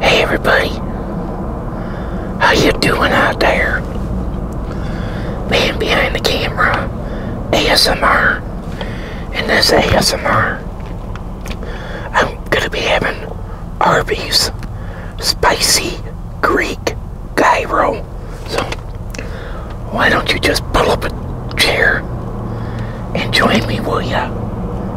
Hey everybody, how you doing out there? Man behind the camera, ASMR, and this ASMR, I'm gonna be having Arby's spicy Greek gyro. So why don't you just pull up a chair and join me, will ya?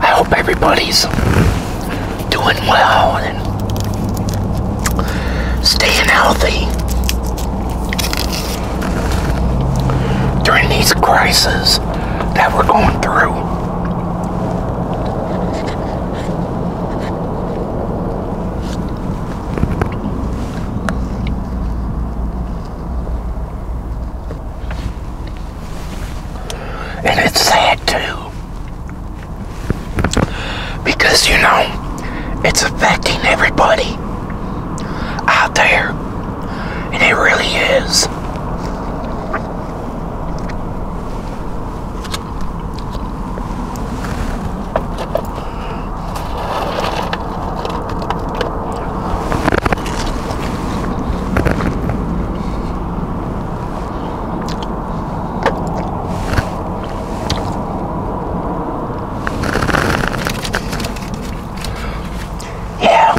I hope everybody's doing well and staying healthy during these crises that we're going through. And it's sad too. Because, you know, it's affecting everybody out there. And it really is. Yeah,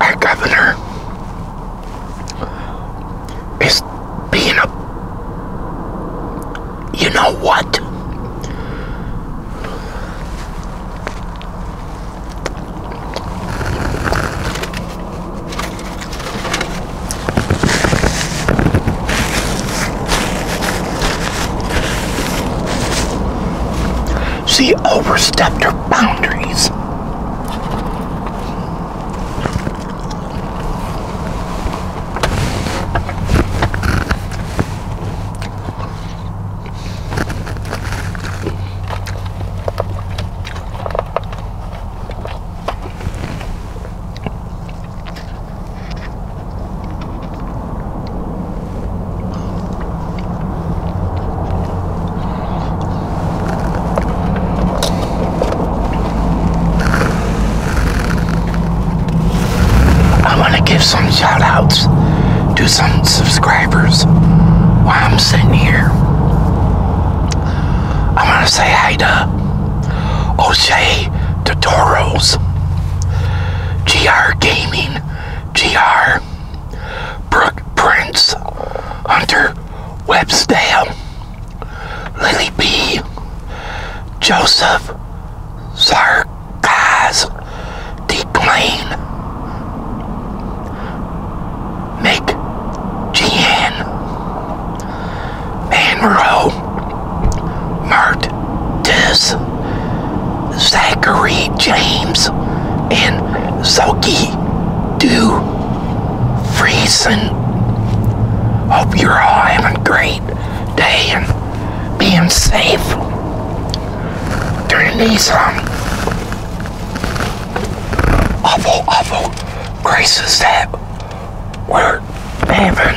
our governor is being a you know what? She overstepped her boundaries. I want to give some shout outs to some subscribers while I'm sitting here. I want to say hi to O'Shea Tutorials, GR Gaming, GR Brooke Prince, Hunter Webstam, Lily B, Joseph Sarkaz, Declane, Nick Gian, Manro, Mart Zachary James and Zoki Do Friesen. Hope you're all having a great day and being safe during these um, awful, awful crises that we're having.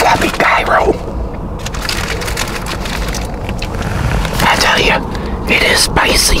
Sloppy gyro. I tell you, it is spicy.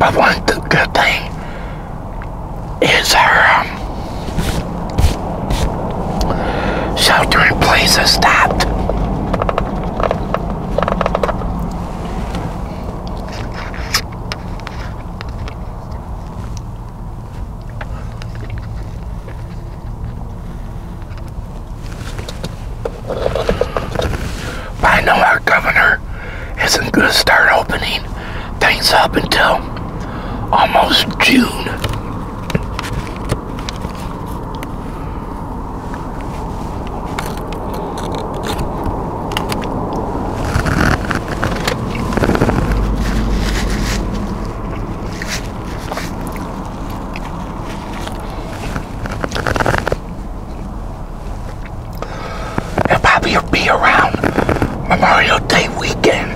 But one good thing is our um, shelter in place has stopped. I know our governor isn't going to start opening things up until almost June. It'll probably be around Memorial Day weekend.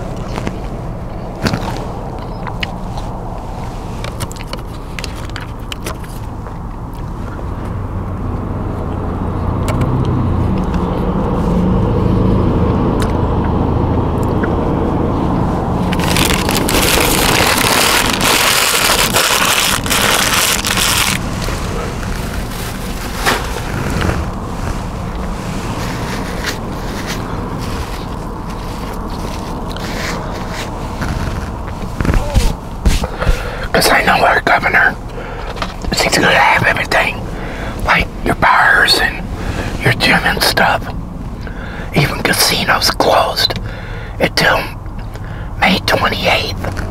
Because I know our governor she's gonna have everything like your bars and your gym and stuff. Even casinos closed until May 28th.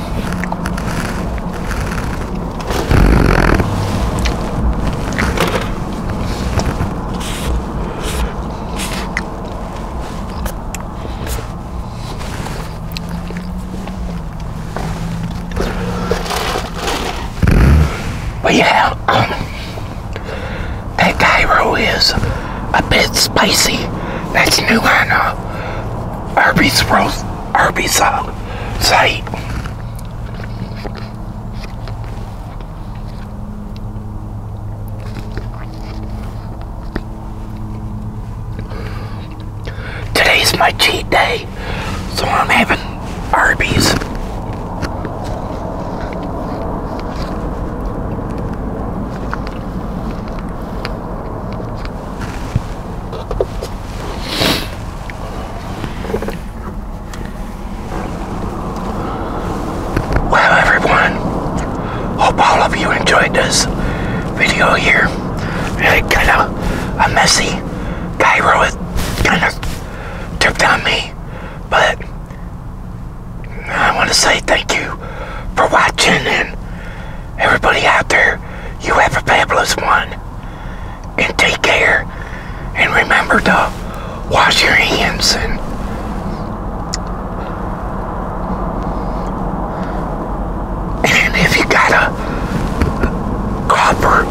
But yeah, um, that gyro is a bit spicy. That's new on uh, Arby's roast, Arby's uh, site. Today's my cheat day, so I'm having Arby's. Well, everyone, hope all of you enjoyed this video here. Really kind of a messy gyro is kind of tripped on me, but I want to say thank you for watching Everybody out there, you have a fabulous one. And take care. And remember to wash your hands and if you got a copper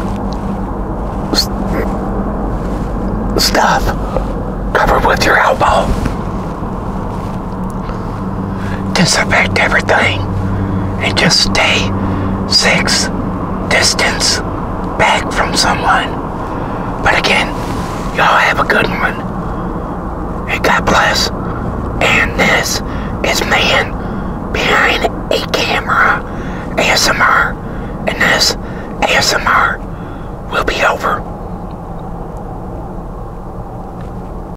stuff, cover with your elbow disinfect everything and just stay six distance back from someone. But again, y'all have a good one. And God bless. And this is Man Behind a Camera ASMR. And this ASMR will be over.